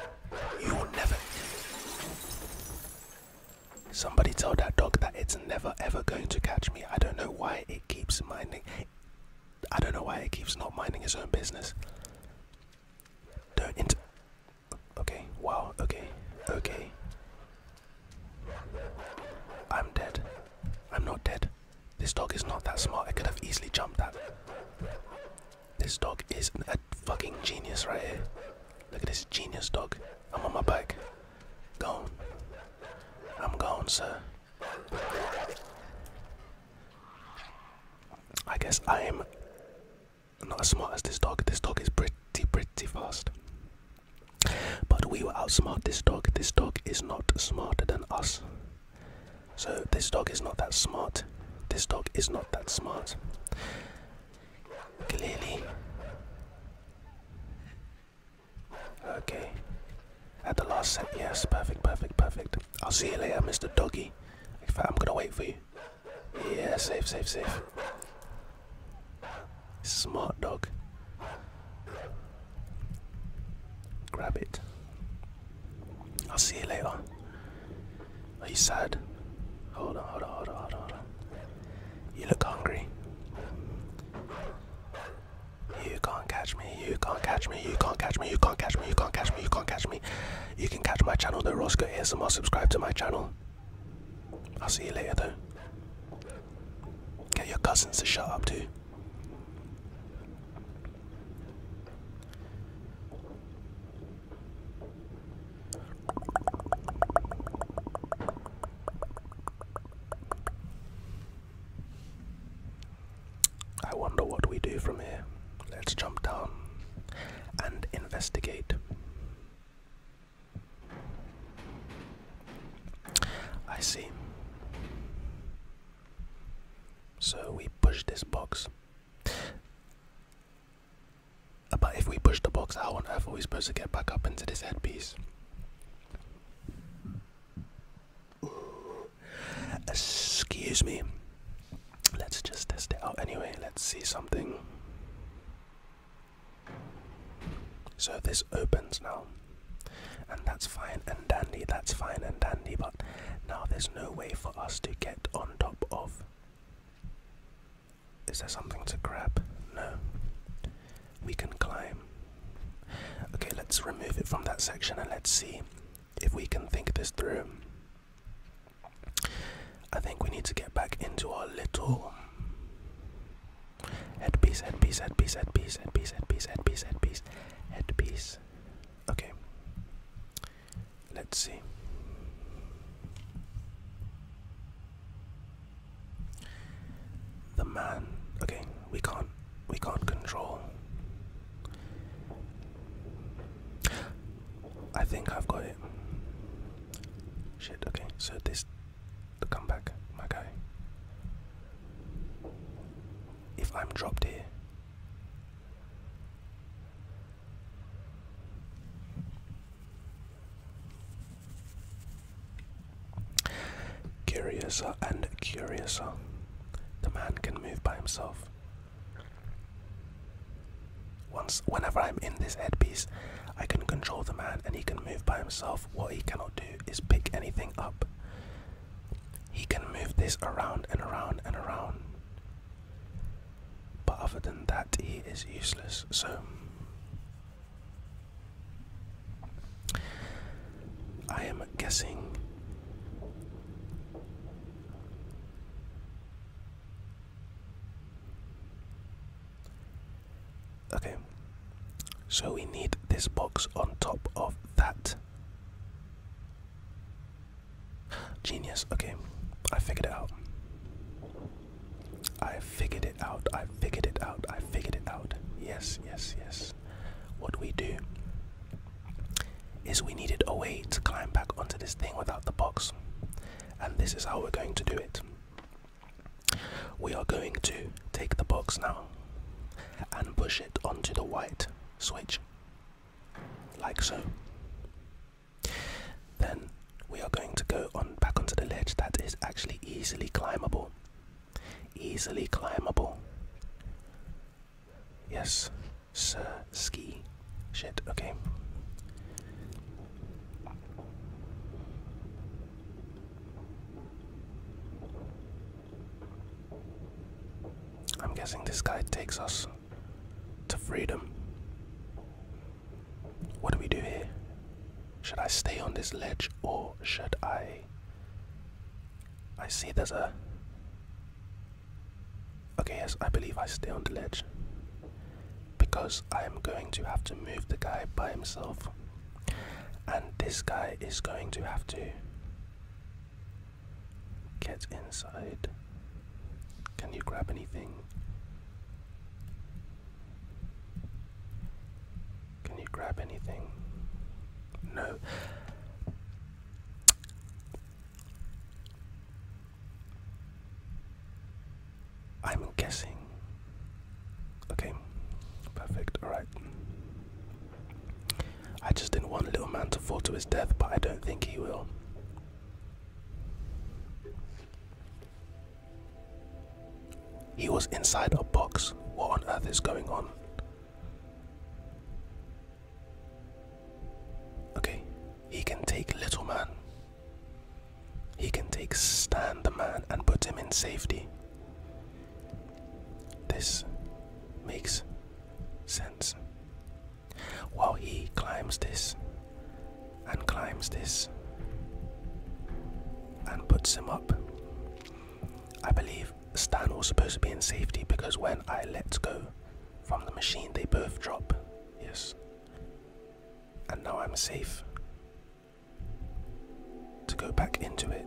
Speaker 1: You will never. Somebody told that dog that it's never ever going to catch me. I don't know why it keeps minding. I don't know why it keeps not minding its own business. Don't Okay, wow, okay, okay. I'm dead. I'm not dead. This dog is not that smart. I could have easily jumped that. This dog is a fucking genius right here. Look at this genius dog. I'm on my back. Gone. I'm gone, sir. I guess I am not as smart as this dog. This dog is pretty, pretty fast. But we will outsmart this dog. This dog is not smarter than us. So this dog is not that smart. This dog is not that smart. Clearly. Okay. At the last set, yes, perfect, perfect, perfect. I'll see you later, Mr. Doggy. I'm gonna wait for you. Yeah, safe, safe, safe. Smart dog. Grab it. I'll see you later. Are you sad? Hold on, hold on, hold on, hold on, hold on. You look hungry. You can't catch me, you can't catch me, you can't catch me, you can't catch me, you can't catch me, you can't catch me. You can catch my channel, The Roscoe ASMR, subscribe to my channel. I'll see you later though. Get your cousins to shut up too. I wonder what we do from here. Let's jump down and investigate. I see. So we push this box. But if we push the box, how on earth are we supposed to get back up into this headpiece? Excuse me. Let's just test it out anyway. Let's see something. So this opens now. And that's fine and dandy, that's fine and dandy, but now there's no way for us to get on top of. Is there something to grab? No. We can climb. Okay, let's remove it from that section and let's see if we can think this through. I think we need to get back into our little headpiece, headpiece, headpiece, headpiece, headpiece, headpiece, headpiece, headpiece, headpiece. headpiece. Okay. Let's see. The man. Okay, we can't. We can't control. I think I've got it. Shit. Okay, so this. The comeback, my guy. If I'm dropped here, Curiouser and curiouser, the man can move by himself. Once, whenever I'm in this headpiece, I can control the man and he can move by himself. What he cannot do is pick anything up. He can move this around and around and around. But other than that, he is useless. So I am guessing Okay. So we need this box on top of that. Genius. Okay, I figured it out. I figured it out. I figured it out. I figured it out. Yes, yes, yes. What we do is we needed a way to climb back onto this thing without the box. And this is how we're going to do it. We are going to take the box now and push it onto the white switch. Like so. Then we are going to go on back onto the ledge that is actually easily climbable. Easily climbable. Yes, sir, ski. Shit, okay. I'm guessing this guy takes us to freedom. What do we do here? Should I stay on this ledge or should I? I see there's a. Okay, yes, I believe I stay on the ledge. Because I am going to have to move the guy by himself. And this guy is going to have to Get inside. Can you grab anything? Can you grab anything? No. I'm guessing. Okay, perfect, alright. I just didn't want little man to fall to his death, but I don't think he will. He was inside a box. What on earth is going on? Okay, he can take Little Man. He can take Stan the Man and put him in safety. This makes sense while he climbs this and climbs this and puts him up. I believe Stan was supposed to be in safety because when I let go from the machine, they both drop. Yes. And now I'm safe to go back into it.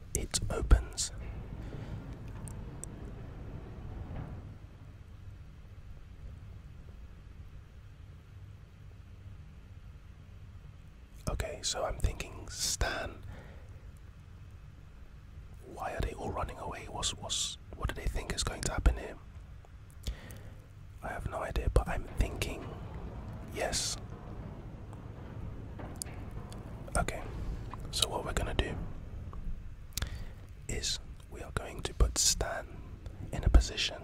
Speaker 1: it opens. Okay, so I'm thinking, Stan. Why are they all running away? What's what's what do they think is going to happen here? I have no idea, but I'm thinking, yes. Okay, so what we're gonna do is we are going to put Stan in a position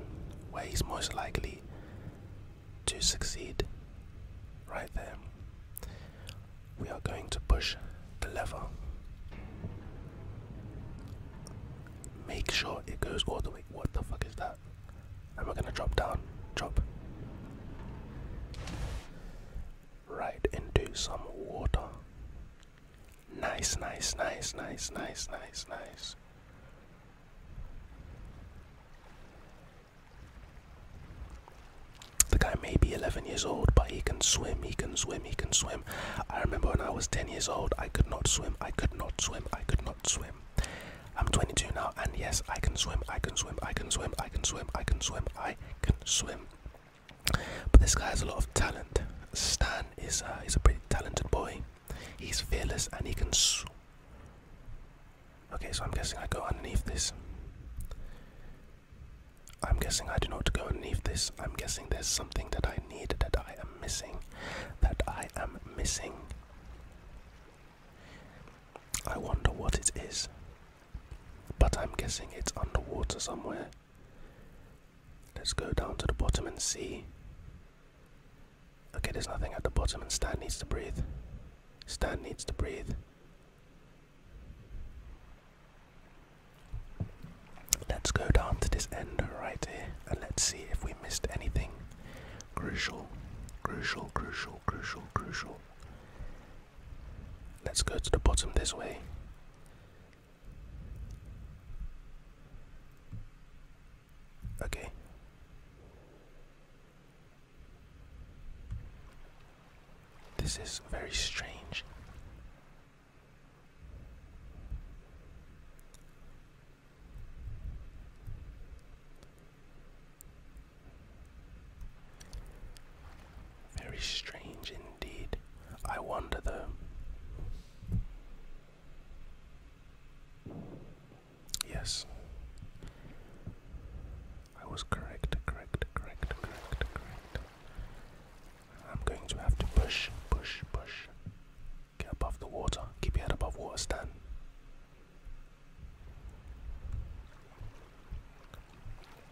Speaker 1: where he's most likely to succeed. Right there, we are going to push the lever. Make sure it goes all the way. What the fuck is that? And we're gonna drop down. Drop right into some water. Nice, nice, nice, nice, nice, nice, nice. The guy may be 11 years old, but he can swim, he can swim, he can swim. I remember when I was 10 years old, I could not swim, I could not swim, I could not swim. I'm 22 now, and yes, I can swim, I can swim, I can swim, I can swim, I can swim, I can swim, I can swim. But this guy has a lot of talent. Stan is uh, he's a pretty talented boy. He's fearless and he can. Okay, so I'm guessing I go underneath this. I'm guessing I do not go underneath this. I'm guessing there's something that I need that I am missing. That I am missing. I wonder what it is. But I'm guessing it's underwater somewhere. Let's go down to the bottom and see. Okay, there's nothing at the bottom, and Stan needs to breathe. Stan needs to breathe. Let's go down to this end right here and let's see if we missed anything. Crucial, crucial, crucial, crucial, crucial. Let's go to the bottom this way. Okay. This is very strange. Very strange Indeed. I wonder though. Yes. I was correct, correct, correct, correct, correct. I'm going to have to push, push, push. Get above the water. Keep your head above water, Stan.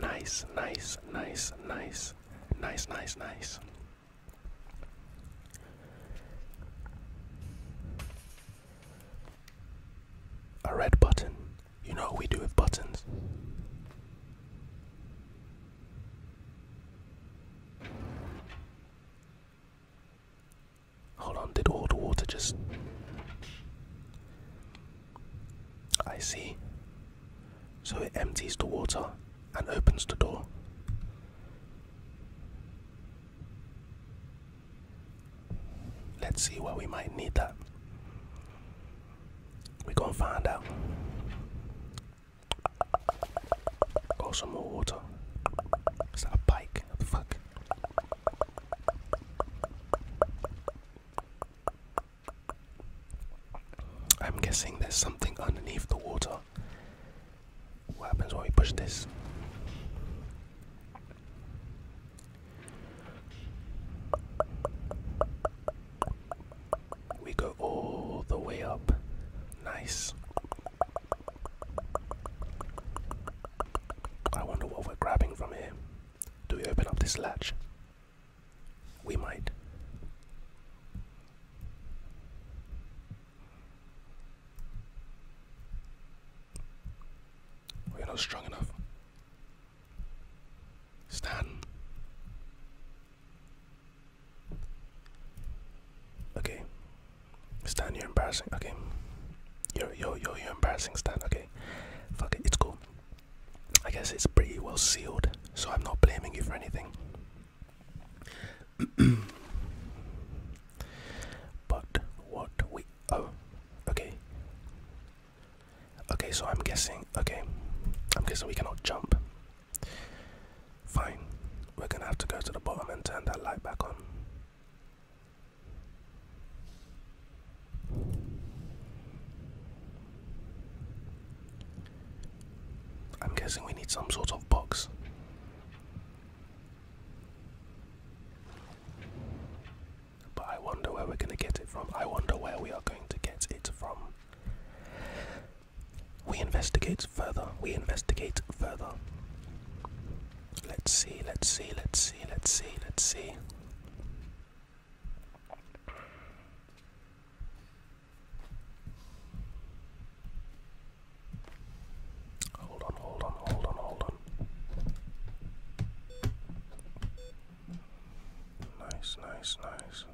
Speaker 1: Nice, nice, nice, nice, nice, nice, nice. A red button. You know what we do with buttons. Hold on, did all the water just. I see. So it empties the water and opens the door. Let's see where we might need that. We're gonna find out. Got some more water. Is that a bike? Fuck. I'm guessing there's something underneath the water. What happens when we push this? We go all the way up. Nice. I wonder what we're grabbing from here. Do we open up this latch? We might. We're not strong enough. Stand. Okay. Stan, you're embarrassing. Okay. Yo, yo, yo, you're embarrassing, Stan. Okay. Fuck it, it's cool. I guess it's pretty well sealed, so I'm not blaming you for anything. (clears throat) but what we oh okay okay so i'm guessing okay i'm guessing we cannot jump fine we're gonna have to go to the bottom and turn that light back on I'm guessing we need some sort of box. But I wonder where we're going to get it from. I wonder where we are going to get it from. We investigate further. We investigate further. Let's see, let's see, let's see, let's see, let's see. Hold on, hold on, hold on, hold on. Nice, nice, nice.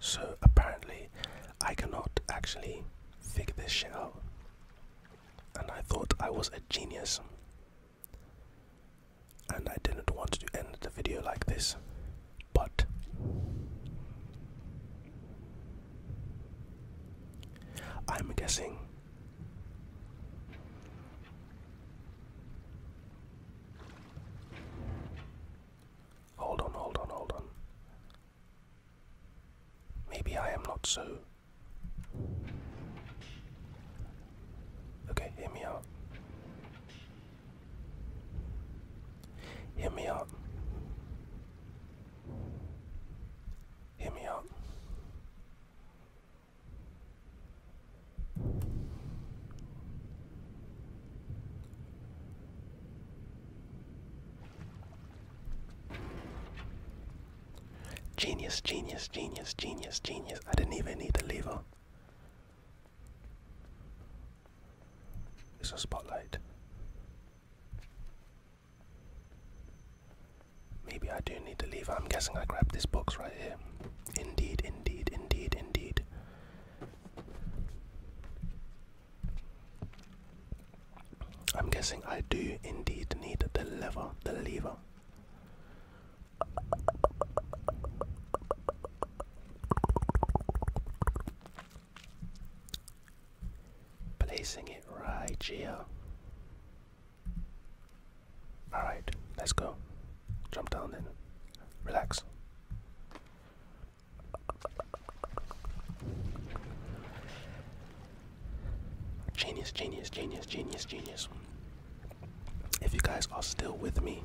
Speaker 1: So apparently, I cannot actually figure this shit out. And I thought I was a genius. And I didn't want to end the video like this. But I'm guessing Hold on, hold on, hold on. Maybe I am not so. Okay, hear me out. Hear me out. Hit me up. Genius, genius, genius, genius, genius. I didn't even need the lever. It's a spotlight. Maybe I do need to leave. I'm guessing I grabbed this box right here. Indeed, indeed, indeed, indeed. I'm guessing I do indeed need the lever, the lever. Placing it right here. Alright, let's go. Jump down and relax. Genius, genius, genius, genius, genius. If you guys are still with me,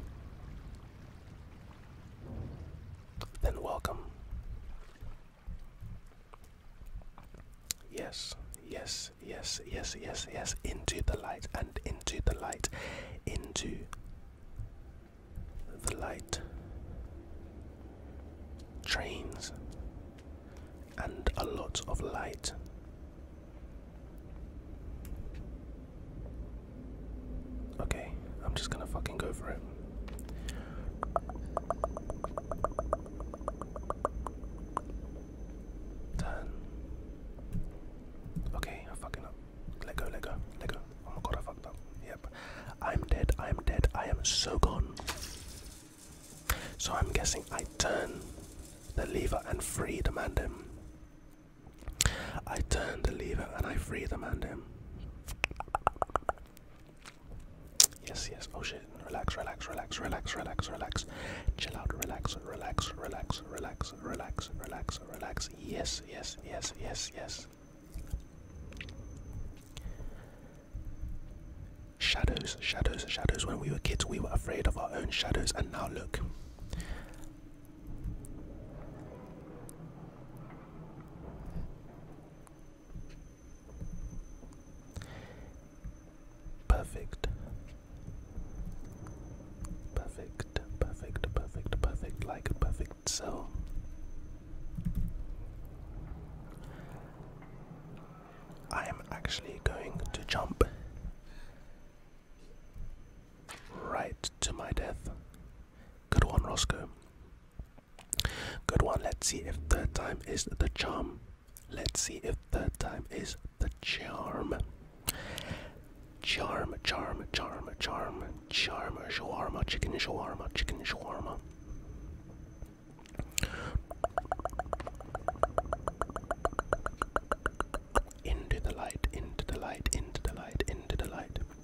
Speaker 1: then welcome. Yes, yes, yes, yes, yes, yes. Into the light and into the light. Into the light. Trains and a lot of light. Okay, I'm just gonna fucking go for it. Turn. Okay, I'm up. Let go, let go, let go. Oh my god, I fucked up. Yep. I'm dead, I'm dead, I am so gone. So I'm guessing I turn the lever and free the mandem. I turn the lever and I free the mandem. Yes, yes. Oh shit. Relax, relax, relax, relax, relax, relax. Chill out, relax, relax, relax, relax, relax, relax, relax. Yes, yes, yes, yes, yes. Shadows, shadows, shadows. When we were kids, we were afraid of our own shadows, and now look. Perfect. Perfect, perfect, perfect, perfect, like a perfect cell. I am actually going to jump right to my death. Good one, Roscoe. Good one. Let's see if third time is the charm. Let's see if third time is the charm. Charm, charm, charm, charm, charm, shawarma, chicken shawarma, chicken shawarma. Into the light, into the light, into the light, into the light.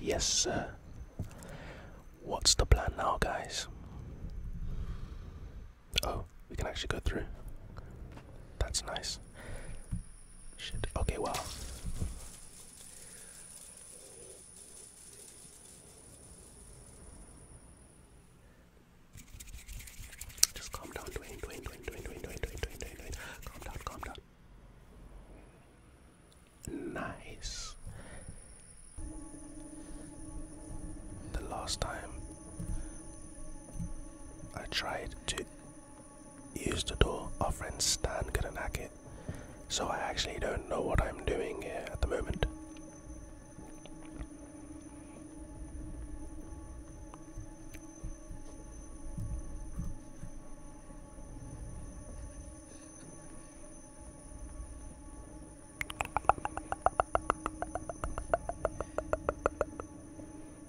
Speaker 1: Yes, sir. What's the plan now, guys? Oh, we can actually go through. That's nice. Shit. Okay, well, Just calm down, Dwayne, Dwayne, Dwayne, Dwayne, Dwayne, Dwayne, Dwayne, Dwayne, Dwayne. Calm down, calm down. Nice. The last time I tried to use the door, our friend Stan couldn't hack it. So I actually don't know what I'm doing here at the moment.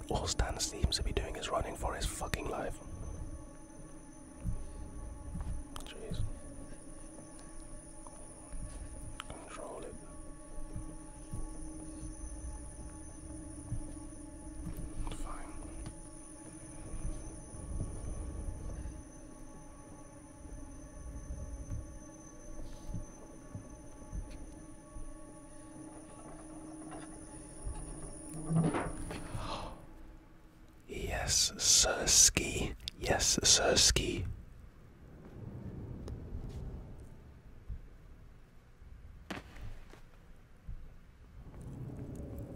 Speaker 1: All Stan seems to be doing is running for his fucking life. Jeez. Control it. Fine. Yes, Sursky. Yes, Sursky.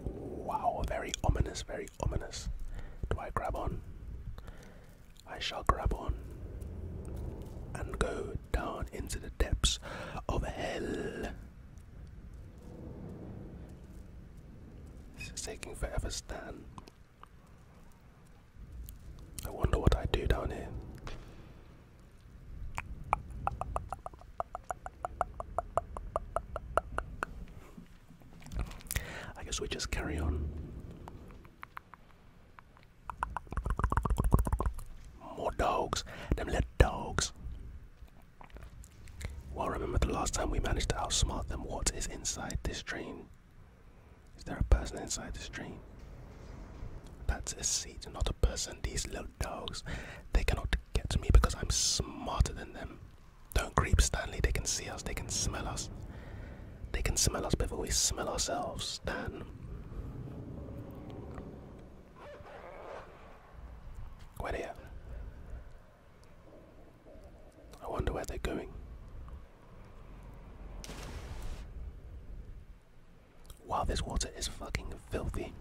Speaker 1: Wow, very ominous, very ominous. Do I grab on? I shall grab on and go down into the depths of hell. This is taking forever, Stan. I wonder what I do down here. I guess we just carry on. More dogs, them little dogs. Well, remember the last time we managed to outsmart them. What is inside this drain? Is there a person inside this drain? That's a seat, not a person. These little dogs, they cannot Get to me because I'm smarter than them. Don't creep, Stanley. They can see us. They can smell us. They can smell us before we smell ourselves, Stan. Where they at? I wonder where they're going. Wow, this water is fucking filthy.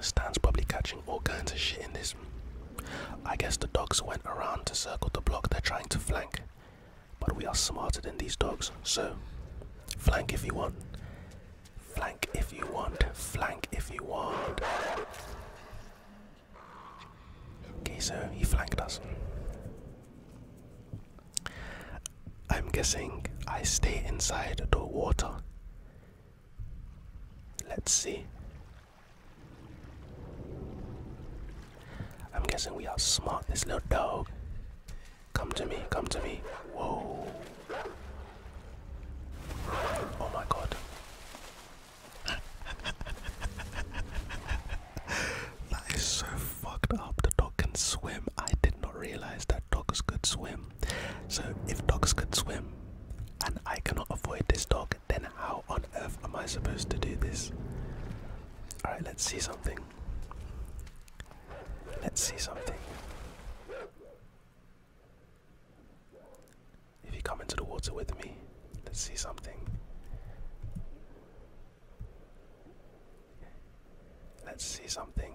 Speaker 1: Stan's probably catching all kinds of shit in this. I guess the dogs went around to circle the block they're trying to flank. But we are smarter than these dogs, so flank if you want. Flank if you want. Flank if you want. Okay, so he flanked us. I'm guessing I stay inside the water. Let's see. I'm guessing we are smart, this little dog. Come to me, come to me. Whoa. Oh my god. (laughs) that is so fucked up. The dog can swim. I did not realize that dogs could swim. So, if dogs could swim and I cannot avoid this dog, then how on earth am I supposed to do this? Alright, let's see something. Let's see something. If you come into the water with me, let's see something. Let's see something.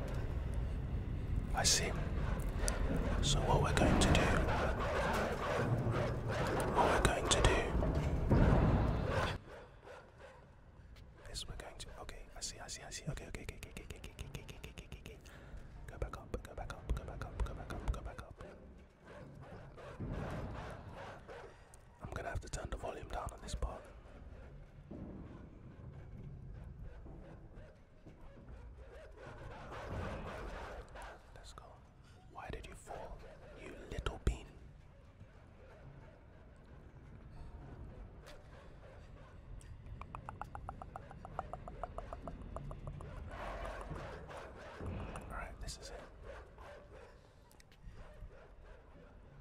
Speaker 1: I see. So what we're going to do, what we're going to do is we're going to. Okay, I see, I see, I see. okay, okay, okay, okay, okay, okay, okay, okay, okay, okay. Go back up, go back up, go back up, go back up, go back up. I'm gonna have to turn the volume down on this part. Let's go. Why did you fall, you little bean? Alright, this is it.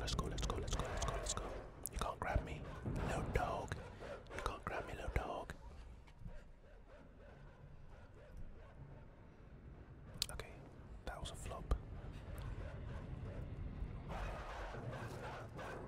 Speaker 1: Let's go, let's go, let's go, let's go, let's go. You can't grab me, little dog. You can't grab me, little dog. Okay, that was a flop.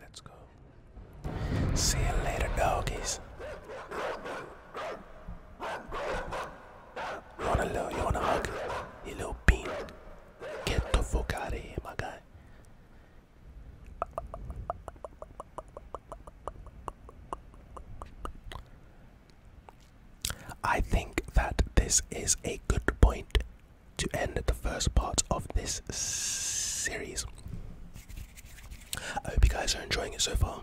Speaker 1: Let's go. See you later, doggies. You wanna love, you wanna hug? You little bean. Get the fuck out of here, my guy. I think that this is a good point to end the first part of this series. I hope you guys are enjoying it so far.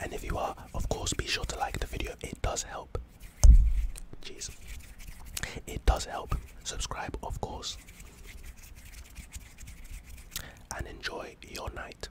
Speaker 1: And if you are, of course, be sure to like the video. It does help. Jeez. It does help. Subscribe, of course. And enjoy your night.